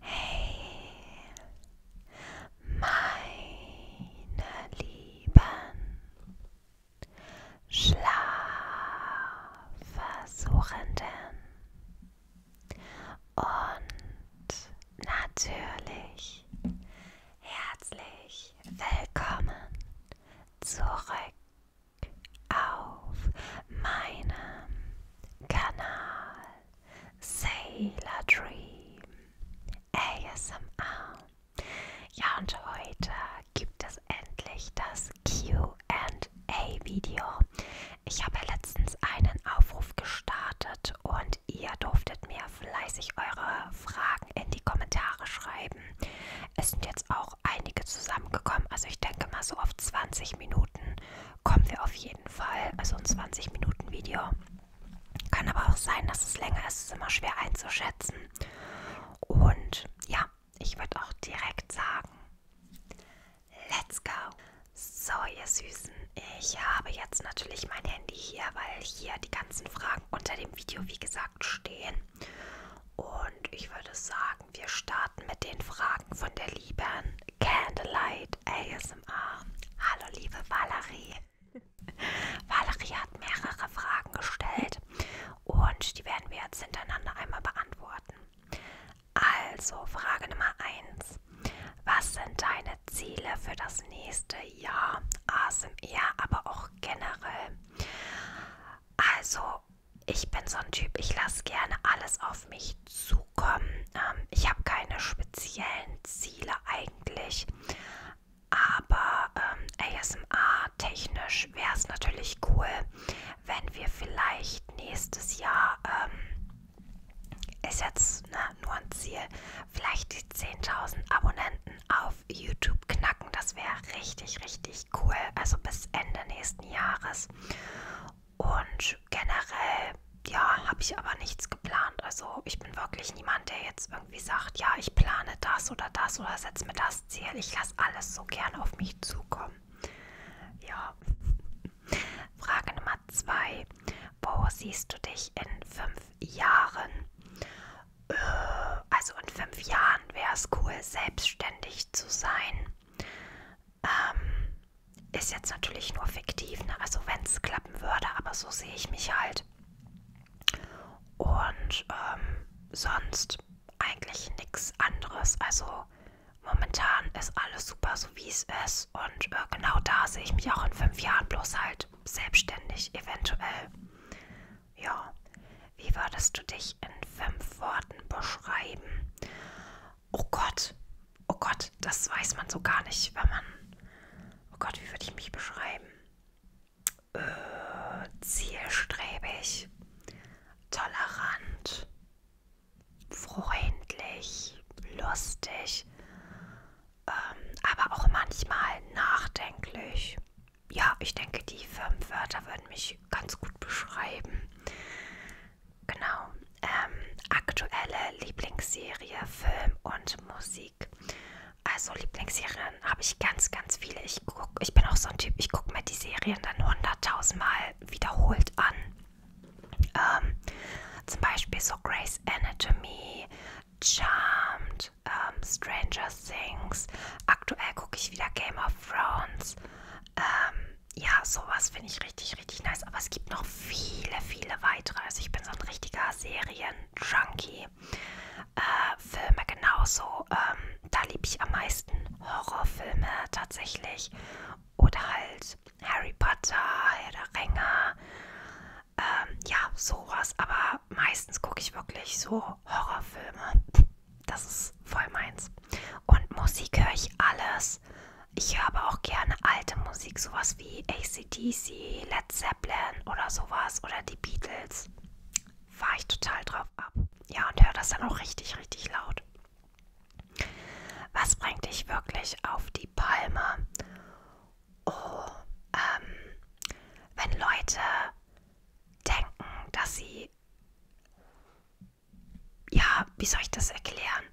Hey, meine Lieben, Schlafversuchenden und natürlich herzlich willkommen zurück auf meinem Kanal Sailor Dream ASMR. Ja, und heute gibt es endlich das QA-Video. Ich habe letztens einen Aufruf gestartet und ihr durftet mir fleißig eure Fragen in die Kommentare schreiben. Es sind jetzt auch einige zusammengekommen. Also ich denke mal so auf 20 Minuten kommen wir auf jeden Fall. Also ein 20 Minuten Video. Kann aber auch sein, dass es länger ist. Es ist immer schwer einzuschätzen. Und ja, ich würde auch direkt sagen, let's go. So, ihr Süßen, ich habe jetzt natürlich mein Handy hier, weil hier die ganzen Fragen unter dem Video, wie gesagt, stehen. Und ich würde sagen, wir starten mit den Fragen von der lieben Candlelight ASMR. Hallo, liebe Valerie. Valerie hat mehrere Fragen gestellt und die werden wir jetzt hintereinander einmal beantworten. Also, Frage Nummer 1. Was sind deine Ziele für das nächste Jahr, ASMR, aber auch generell. Also, ich bin so ein Typ, ich lasse gerne alles auf mich zukommen. Ähm, ich habe keine speziellen Ziele eigentlich, aber ähm, ASMR-technisch wäre es natürlich cool, wenn wir vielleicht nächstes Jahr, ähm, ist jetzt ne, nur ein Ziel, vielleicht die 10.000 Abonnenten auf YouTube knacken. Das wäre richtig, richtig cool. Also bis Ende nächsten Jahres. Und generell, ja, habe ich aber nichts geplant. Also ich bin wirklich niemand, der jetzt irgendwie sagt, ja, ich plane das oder das oder setze mir das Ziel. Ich lasse alles so gern auf mich zukommen. Ja. Frage Nummer zwei. Wo siehst du dich in fünf Jahren? Äh, also in fünf Jahren wäre es cool, selbstständig zu sein. Ähm, ist jetzt natürlich nur fiktiv, ne? also wenn es klappen würde, aber so sehe ich mich halt. Und ähm, sonst eigentlich nichts anderes. Also momentan ist alles super, so wie es ist. Und äh, genau da sehe ich mich auch in fünf Jahren bloß halt selbstständig eventuell. Ja, wie würdest du dich in fünf Worten beschreiben? Oh Gott, oh Gott, das weiß man so gar nicht, wenn man. Oh Gott, wie würde ich mich beschreiben? Äh, zielstrebig, tolerant, freundlich, lustig, ähm, aber auch manchmal nachdenklich. Ja, ich denke, die Firmenwörter würden mich ganz gut beschreiben. Genau. Ähm, aktuelle Lieblingsserie, Film und Musik. Also Lieblingsserien habe ich ganz, ganz viele. Ich, guck, ich bin auch so ein Typ, ich gucke mir die Serien dann hunderttausendmal wiederholt an. Ähm, zum Beispiel so Grey's Anatomy, Charmed, und ähm, Stranger Things. Aktuell gucke ich wieder Game of Thrones. Ähm, ja, sowas finde ich richtig, richtig nice. Aber es gibt noch viele, viele weitere. Also ich bin so ein richtiger Serien-Junkie. Äh, Filme genauso. Ähm, da liebe ich am meisten Horrorfilme tatsächlich. Oder halt Harry Potter, Herr der Ringe. Ähm, ja, sowas. Aber meistens gucke ich wirklich so Horrorfilme. Das ist voll meins. Und Musik höre ich alles. Ich höre aber auch gerne alte Musik, sowas wie ACDC, Led Zeppelin oder sowas oder die Beatles. Fahre ich total drauf ab. Ja, und höre das dann auch richtig, richtig laut. Was bringt dich wirklich auf die Palme? oh, ähm, wenn Leute denken, dass sie, ja, wie soll ich das erklären?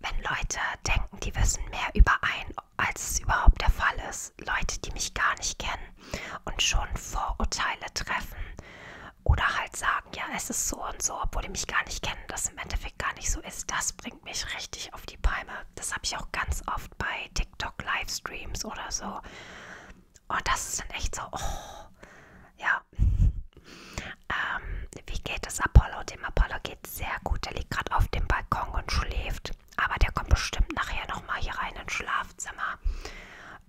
Wenn Leute denken, die wissen mehr über einen, als es überhaupt der Fall ist. Leute, die mich gar nicht kennen und schon Vorurteile treffen oder halt sagen, ja, es ist so und so, obwohl die mich gar nicht kennen, das im Endeffekt gar nicht so ist, das bringt mich richtig auf die die Palme. Das habe ich auch ganz oft bei TikTok-Livestreams oder so. Und oh, das ist dann echt so, oh, ja. Ähm, wie geht es Apollo? Dem Apollo geht sehr gut. Der liegt gerade auf dem Balkon und schläft. Aber der kommt bestimmt nachher nochmal hier rein ins Schlafzimmer.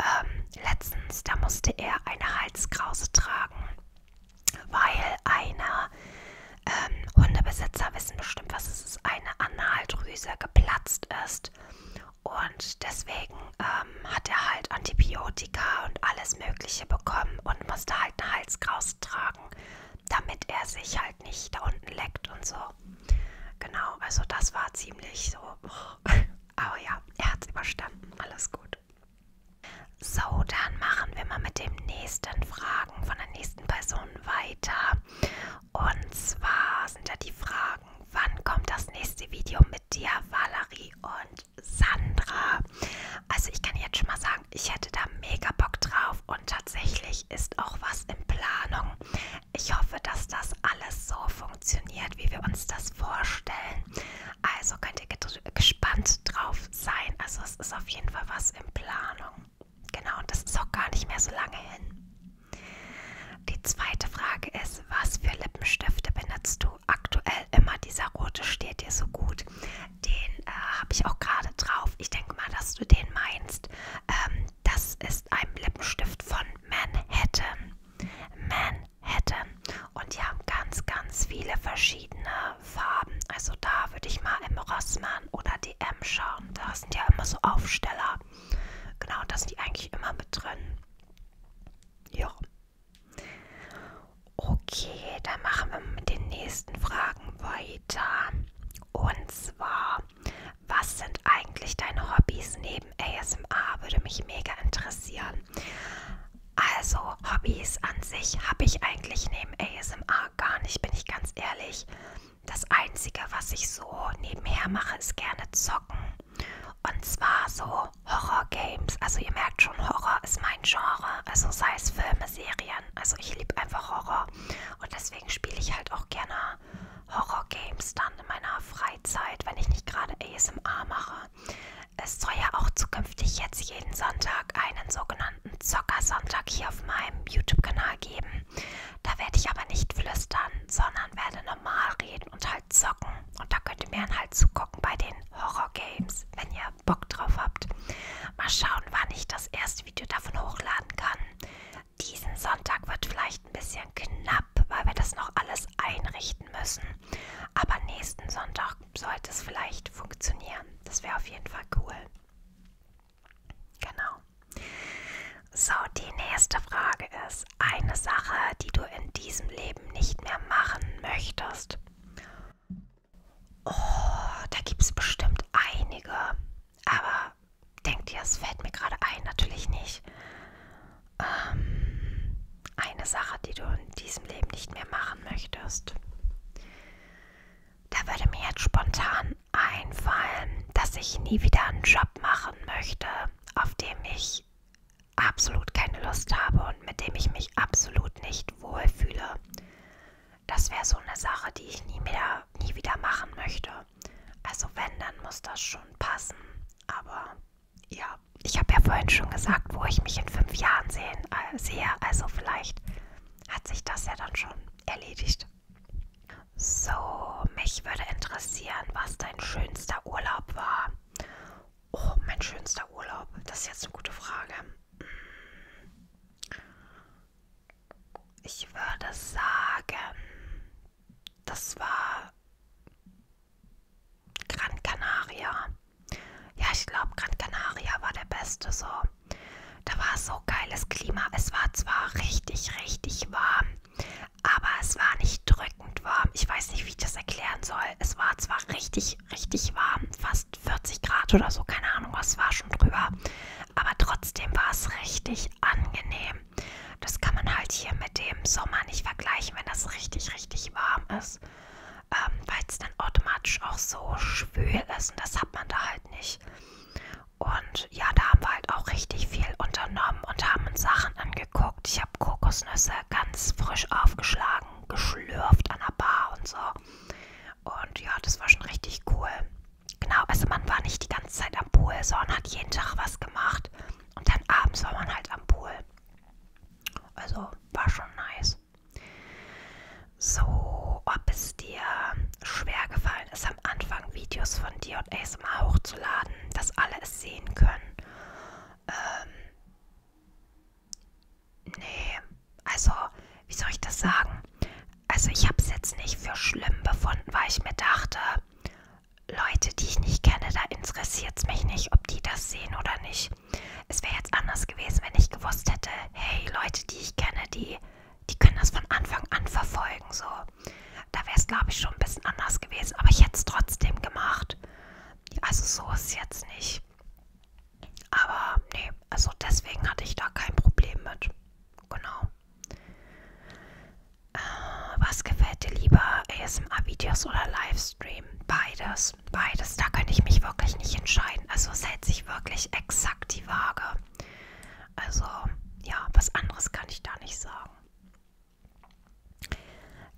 Ähm, letztens, da musste er eine Halskrause tragen, weil einer ähm, Hundebesitzer wissen bestimmt, was dass eine Analdrüse geplatzt ist. Und deswegen ähm, hat er halt Antibiotika und alles Mögliche bekommen und musste halt einen Halskraus tragen, damit er sich halt nicht da unten leckt und so. Genau, also das war ziemlich so. Aber ja, er hat es überstanden. Alles gut. So, dann machen wir mal mit dem nächsten Fragen von der nächsten Person weiter. Und zwar sind ja die Fragen, wann kommt das nächste Video mit dir, Valerie und Sandra? Also ich kann jetzt schon mal sagen, ich hätte da mega Bock drauf und tatsächlich ist auch was in Planung. Ich hoffe, dass das alles so funktioniert, wie wir uns das vorstellen. Also könnt ihr gespannt drauf sein. Also es ist auf jeden Fall was in Planung. Genau, und das ist auch gar nicht mehr so lange hin. Die zweite Frage ist, was für Lippenstifte benutzt du aktuell immer? Dieser rote steht dir so gut. Den äh, habe ich auch gerade drauf. Ich denke mal, dass du den meinst. Ähm, das ist ein Lippenstift von Manhattan. Manhattan. Und die haben ganz, ganz viele verschiedene Farben. Also da würde ich mal im Rossmann oder DM schauen. Da sind ja immer so Aufsteller. Genau, das sind die eigentlich immer mit drin. Ja. Okay, dann machen wir mit den nächsten Fragen weiter. Und zwar, was sind eigentlich deine Hobbys neben ASMR? Würde mich mega interessieren. Also, Hobbys an sich habe ich eigentlich neben ASMR gar nicht, bin ich ganz ehrlich. Das Einzige, was ich so nebenher mache, ist gerne zocken. Und zwar so Horror-Games. Also ihr merkt schon, Horror ist mein Genre. Also sei es Filme, Serien. Also ich liebe einfach Horror. Und deswegen spiele ich halt auch gerne Horror-Games dann in meiner Freizeit, wenn ich nicht gerade ASMR mache. Es soll ja auch zukünftig jetzt jeden Sonntag einen sogenannten Zocker-Sonntag hier auf meinem YouTube-Kanal geben. Da werde ich aber nicht flüstern, sondern werde normal reden und halt zocken. Und da könnt ihr mir dann halt zugucken bei den Horror-Games, wenn ihr Bock drauf habt. Mal schauen, wann ich das erste Video davon hochladen kann. Diesen Sonntag wird vielleicht ein bisschen knapp, weil wir das noch alles einrichten müssen. Aber nächsten Sonntag sollte es vielleicht funktionieren. Das wäre auf jeden Fall cool. Genau. So, die nächste Frage ist eine Sache, die du in diesem Leben nicht mehr machen möchtest. Oh, da gibt es bestimmt einige. Aber denkt ihr, es fällt mir gerade ein? Natürlich nicht. Ähm, eine Sache, die du in diesem Leben nicht mehr machen möchtest. Da würde mir jetzt spontan einfallen, dass ich nie wieder einen Job machen möchte, auf dem ich absolut keine Lust habe und mit dem ich mich absolut nicht wohlfühle. Das wäre so eine Sache, die ich nie wieder, nie wieder machen möchte. Also wenn, dann muss das schon passen. Aber ja, ich habe ja vorhin schon gesagt, wo ich mich in fünf Jahren sehen, äh, sehe. Also vielleicht hat sich das ja dann schon erledigt. So, mich würde interessieren, was dein schönster Urlaub war. Oh, mein schönster Urlaub. Das ist jetzt eine gute Frage. Hm. Ich würde sagen, das war Gran Canaria. Ja, ich glaube, Gran Canaria war der beste so. Da war so geiles Klima. Es war zwar richtig, richtig warm, aber es war nicht drückend warm. Ich weiß nicht, wie ich das erklären soll. Es war zwar richtig, richtig warm, fast 40 Grad oder so, keine Ahnung, was war schon drüber, aber trotzdem war es richtig angenehm. Das kann man halt hier mit dem Sommer nicht vergleichen, wenn das richtig, richtig warm ist, ähm, weil es dann automatisch auch so schwül ist und das hat man da halt nicht. Und ja, da haben wir halt auch richtig viel unternommen und haben uns Sachen angeguckt. Ich habe Kokosnüsse ganz frisch aufgeschlagen, geschlürft an der Bar und so. Und ja, das war schon richtig cool. Genau, also man war nicht die ganze Zeit am Pool, sondern hat jeden Tag was gemacht. Und dann abends war man halt am Pool. Also war schon nice. So, ob es dir schwer gefallen ist, am Anfang Videos von dir und ASMR hochzuladen, dass alle es sehen können. Ähm, nee, also, wie soll ich das sagen? Also ich habe es jetzt nicht für schlimm befunden, weil ich mir dachte, Leute, die ich nicht kenne, da interessiert es mich nicht, ob die das sehen oder nicht. Es wäre jetzt anders gewesen, wenn ich gewusst hätte, hey, Leute, die ich kenne, die, die können das von Anfang an verfolgen. So da wäre es, glaube ich, schon ein bisschen anders gewesen. Aber ich hätte es trotzdem gemacht. Also so ist es jetzt nicht. Aber nee, also deswegen hatte ich da kein Problem mit. Genau. Äh, was gefällt dir lieber? ASMR-Videos oder Livestream? Beides. Beides. Da kann ich mich wirklich nicht entscheiden. Also es hält sich wirklich exakt die Waage. Also ja, was anderes kann ich da nicht sagen.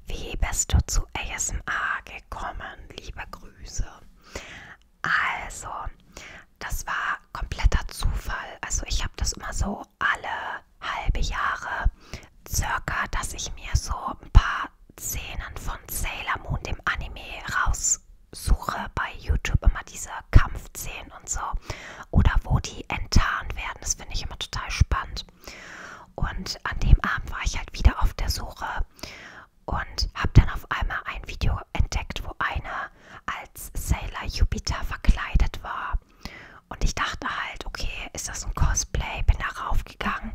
Wie bist du zu ASMR gekommen? Liebe Grüße. Also, das war kompletter Zufall. Also, ich habe das immer so alle halbe Jahre circa, dass ich mir so ein paar Szenen von Sailor Moon, dem Anime, raussuche. Bei YouTube immer diese Kampfszenen rein und so. Oder wo die enttarnt werden. Das finde ich immer total spannend. Und an dem Abend war ich halt wieder auf der Suche und habe dann auf einmal ein Video entdeckt, wo einer als Sailor Jupiter verkleidet war. Und ich dachte halt, okay, ist das ein Cosplay? Bin da raufgegangen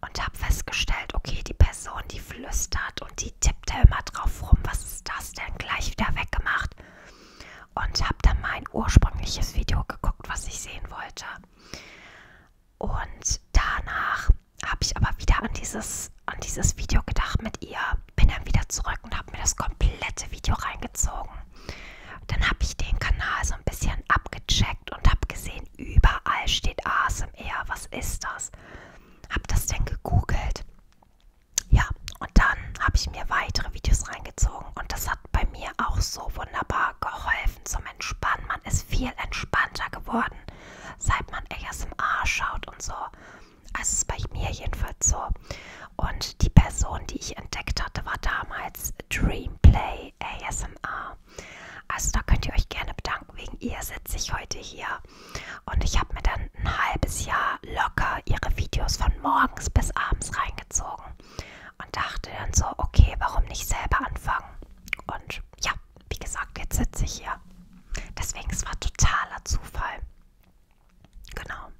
und habe festgestellt, okay, die Person, die flüstert und die tippt da immer drauf rum, was ist das denn? Gleich wieder weggemacht und habe dann mein ursprüngliches Video geguckt, was ich sehen wollte. Und danach habe ich aber wieder an dieses, an dieses Video gedacht mit ihr, bin dann wieder zurück und habe mir das komplette Video reingezogen. Dann habe ich den Kanal so ein bisschen abgecheckt und habe gesehen, überall steht ASMR, was ist das? Habe das denn gegoogelt? Ja, und dann habe ich mir weitere Videos reingezogen und das hat bei mir auch so wunderbar geholfen zum Entspannen. Man ist viel entspannter geworden, seit man ASMR schaut und so. Also ist bei mir jedenfalls so. Und die Person, die ich entdeckt hatte, war damals Dreamplay ASMR. Also da könnt ihr euch gerne bedanken. Wegen ihr sitze ich heute hier. Und ich habe mir dann ein halbes Jahr locker ihre Videos von morgens bis abends reingezogen und dachte dann so, okay, warum nicht selber anfangen? Und ja, wie gesagt, jetzt sitze ich hier. Deswegen, es war totaler Zufall. Genau.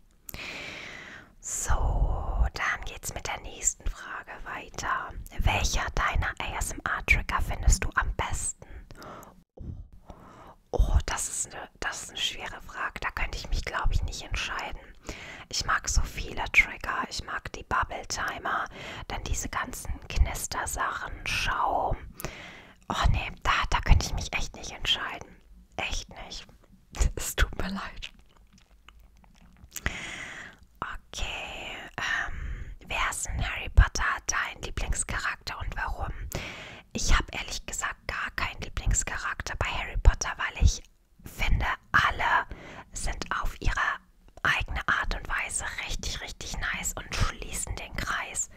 So, dann geht's mit der nächsten Frage weiter. Welcher deiner ASMR-Trigger findest du am besten? Oh, das ist, eine, das ist eine schwere Frage. Da könnte ich mich, glaube ich, nicht entscheiden werden. Ich mag so viele Trigger, ich mag die Bubble Timer, dann diese ganzen Knistersachen, Schaum. Oh nee, da, da könnte ich mich echt nicht entscheiden. Echt nicht. Es tut mir leid. Okay, ähm, wer ist in Harry Potter dein Lieblingscharakter und warum? Ich habe ehrlich gesagt gar keinen Lieblingscharakter bei Harry Potter, weil ich finde, alle sind auf ihre eigene Art und Weise richtig, richtig nice und schließen den Kreis.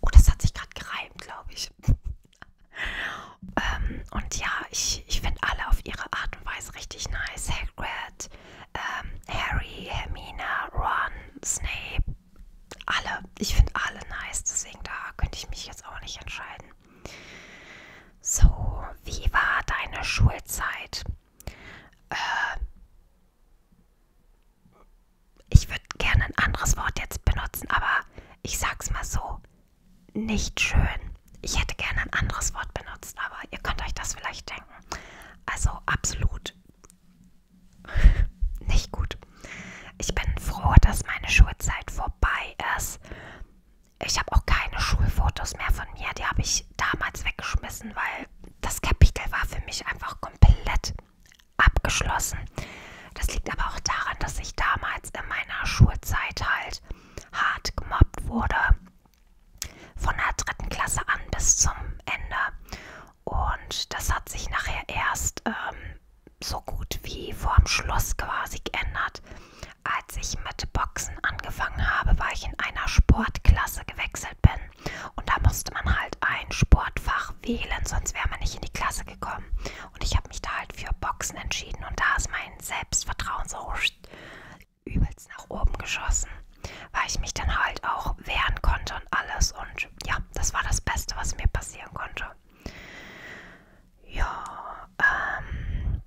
Oh, das hat sich gerade gereimt, glaube ich. ähm, und ja, ich, ich finde alle auf ihre Art und Weise richtig nice. Hagrid, ähm, Harry, Hermine, Ron, Snape, alle. Ich finde alle nice, deswegen da könnte ich mich jetzt auch nicht entscheiden. So, wie war deine Schulzeit? Äh, ich würde gerne ein anderes Wort jetzt benutzen, aber ich sag's mal so: nicht schön. Ich hätte gerne ein anderes Wort benutzt, aber ihr könnt euch das vielleicht denken. Also absolut nicht gut. Ich bin froh, dass meine Schulzeit vorbei ist. Ich habe auch keine Schulfotos mehr von mir. Die habe ich damals weggeschmissen, weil das Kapitel war für mich einfach komplett abgeschlossen. Das liegt aber auch daran, dass ich damals in meiner Schulzeit halt hart gemobbt wurde. Von der dritten Klasse an bis zum Ende. Und das hat sich nachher erst ähm, so gut wie vorm Schluss quasi geändert. Als ich mit Boxen angefangen habe, weil ich in einer Sportklasse gewechselt bin. Und da musste man halt ein Sportfach wählen, sonst wäre man nicht in die Klasse gekommen. Und ich habe mich da halt für Boxen entschieden. Und da ist mein Selbstvertrauen so übelst nach oben geschossen, weil ich mich dann halt auch wehren konnte und alles. Und ja, das war das Beste, was mir passieren konnte. Ja, ähm,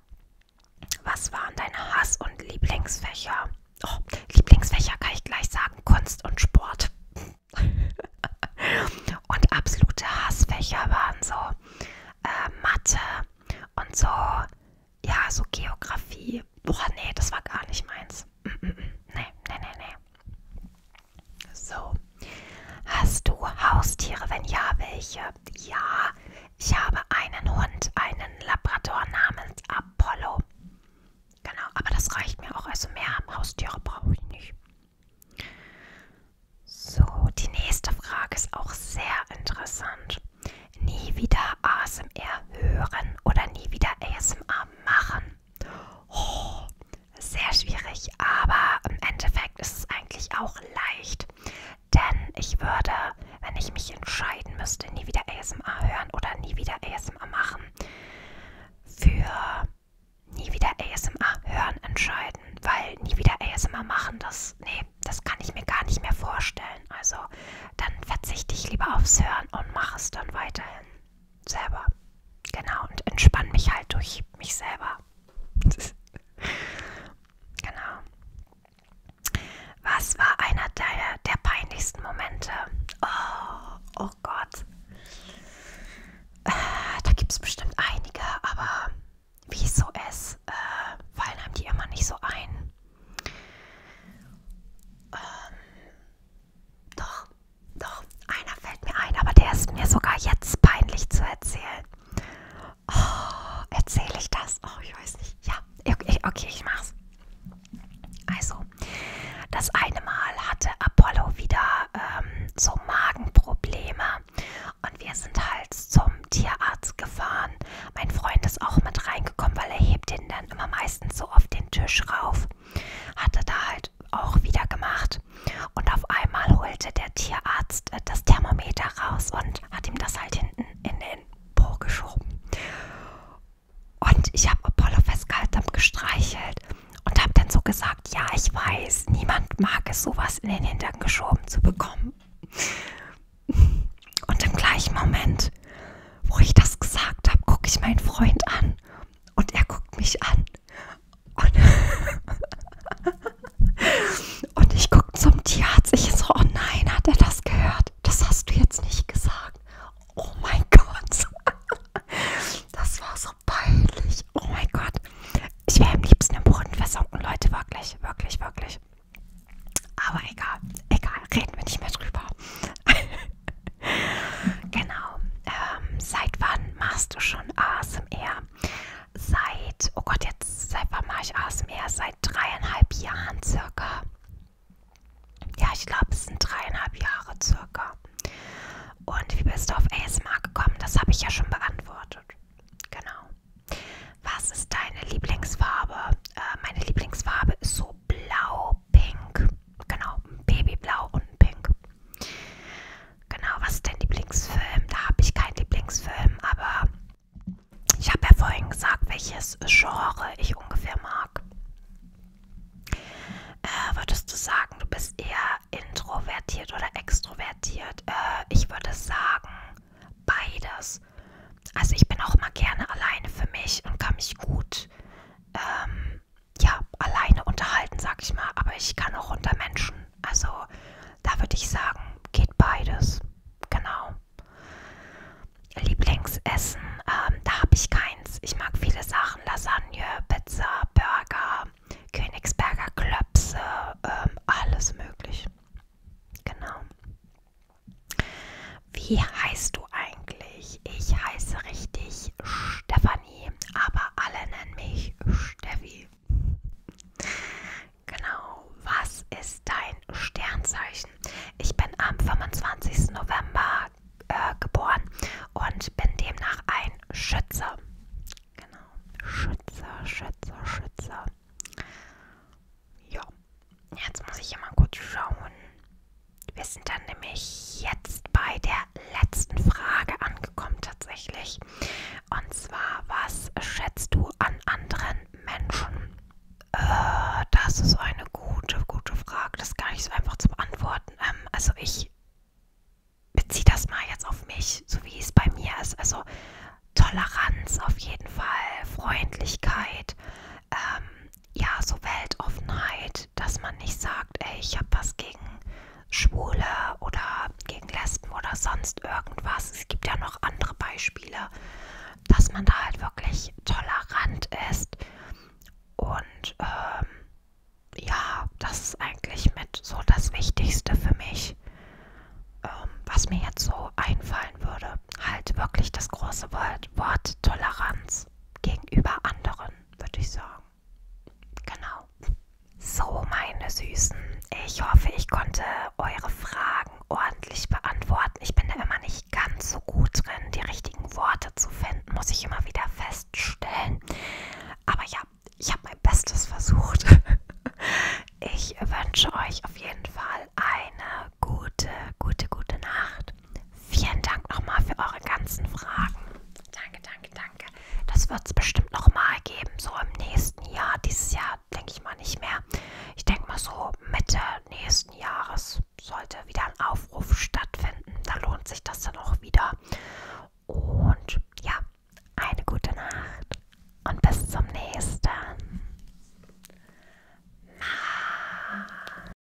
was waren deine Hass- und Lieblingsfächer? Oh, Lieblingsfächer kann ich gleich sagen, Kunst und Sport. und absolute Hassfächer waren so äh, Mathe und so, ja, so Geografie. Boah, nee, das war gar nicht meins. Mm -mm, mm. nee, nee, nee, nee. So. Hast du Haustiere? Wenn ja, welche? ja, ich habe einen Hund, einen Labrador namens Apollo. Genau, aber das reicht mir auch. Also mehr Haustiere brauche ich nicht. So, die nächste Frage ist auch sehr interessant. Nie wieder ASMR hören oder nie wieder ASMR machen. Oh, sehr schwierig, aber im Endeffekt ist es eigentlich auch leicht, denn ich würde, wenn ich mich entscheiden müsste, nie wieder ASMR hören oder nie wieder ASMR machen, für nie wieder ASMR hören entscheiden. Weil nie wieder ASMR machen, das, nee, das kann ich mir gar nicht mehr vorstellen. Also dann verzichte ich lieber aufs Hören und mache es dann weiterhin selber. Genau, und entspanne mich halt durch mich selber. genau. Was war einer deiner der peinlichsten Momente? Oh, oh Gott. Äh, da gibt es bestimmt einige, aber wie es so ist, äh, fallen einem die immer nicht so ein. Ähm, doch, doch, einer fällt mir ein, aber der ist mir sogar jetzt peinlich zu erzählen. Oh, erzähle ich das? Oh, ich weiß nicht. Ja, okay, okay, ich mach's. Also, das eine Mal hatte Apollo wieder ähm, so Magenprobleme und wir sind halt zum Tierarzt gefahren. Mein Freund ist auch mit reingekommen, weil er hebt ihn dann immer meistens so auf den Tisch rauf. Hatte da halt auch wieder gemacht und auf einmal holte der Tierarzt äh, das Thermometer raus und hat ihm das halt hinten in den Po geschoben. Und ich habe Apollo festgehalten, habe gestreichelt und habe dann so gesagt, ja, ich weiß, niemand mag es, sowas in den Hintern geschoben zu bekommen. Und im gleichen Moment, wo ich das gesagt habe, gucke ich meinen Freund an und er guckt mich an. Und Und ich gucke zum Tierarzt. Ich so, oh nein, hat er das gehört? Das hast du jetzt nicht gesagt. Oh mein Gott. Das war so peinlich. Oh mein Gott. Ich wäre am liebsten im Brunnen versunken, Leute. Wirklich, wirklich, wirklich. Aber egal, egal. Reden wir nicht mehr drüber. genau. Ähm, seit wann machst du schon ASMR? seit, oh Gott, jetzt, seit wann mache ich ASMR? Seit dreieinhalb Jahren circa. Ja, ich glaube, es sind dreieinhalb Jahre circa. Und wie bist du auf ASMR gekommen? Das habe ich ja schon beantwortet. Genau. Was ist deine Lieblingsfarbe? Äh, meine Lieblingsfarbe ist so blau-pink. Genau, ein Babyblau und ein Pink. Genau, was ist dein Lieblingsfilm? Da habe ich keinen Lieblingsfilm, aber ich habe ja vorhin gesagt, welches Genre ich ungefähr mag. Äh, würdest du sagen, du bist eher introvertiert oder extrovertiert? Äh, ich würde sagen, beides. Also ich bin auch mal gerne alleine für mich und kann mich gut ähm, ja, alleine unterhalten, sag ich mal. Aber ich kann auch unter Menschen. Also da würde ich sagen, geht beides. Genau. Lieblingsessen, ähm, da habe ich keins. Ich mag viele Sachen, Lasagne, Pizza, Burger, Königsberger Klöpse, ähm, alles möglich. Genau. Wie heißt du eigentlich? Ich heiße richtig Stefanie, aber alle nennen mich Steffi. Genau, was ist dein Sternzeichen? Ich bin am 25. November äh, geboren und bin demnach ein Schütze. Genau, Schütze, Schütze, Schütze. Ja, jetzt muss ich hier mal kurz schauen. Wir sind dann nämlich jetzt bei der letzten Frage angekommen tatsächlich. Und zwar, was schätzt du an anderen Menschen? Äh, das ist eine gute, gute Frage. Das ist gar nicht so einfach zu beantworten. Ähm, also ich beziehe das mal jetzt auf mich, so wie es bei mir ist. Also Toleranz auf jeden Fall, Freundlichkeit, ähm, ja, so Weltoffenheit, dass man nicht sagt, ey, ich habe was gegen Schwule oder gegen Lesben oder sonst irgendwas. Es gibt ja noch andere Beispiele dass man da halt wirklich tolerant ist und ähm, ja, das ist eigentlich mit so das Wichtigste für mich, ähm, was mir jetzt so einfallen würde. Halt wirklich das große Wort, Wort Toleranz gegenüber anderen, würde ich sagen. Genau. So, meine Süßen, ich hoffe, ich konnte eure Fragen ordentlich beantworten. Ich bin da immer nicht ganz so gut drin, die richtigen Worte zu finden, muss ich immer wieder feststellen. Aber ja, ich habe mein Bestes versucht. Ich wünsche euch auf jeden Fall eine gute, gute, gute Nacht. Vielen Dank nochmal für eure ganzen Fragen. Danke, danke, danke. Das wird es bestimmt nochmal geben, so im nächsten Jahr. Dieses Jahr denke ich mal nicht mehr. Ich denke mal so Mitte nächsten Jahres sollte wieder ein Aufruf stattfinden. Da lohnt sich das dann auch wieder. Und ja, eine gute Nacht und bis zum nächsten. Mal.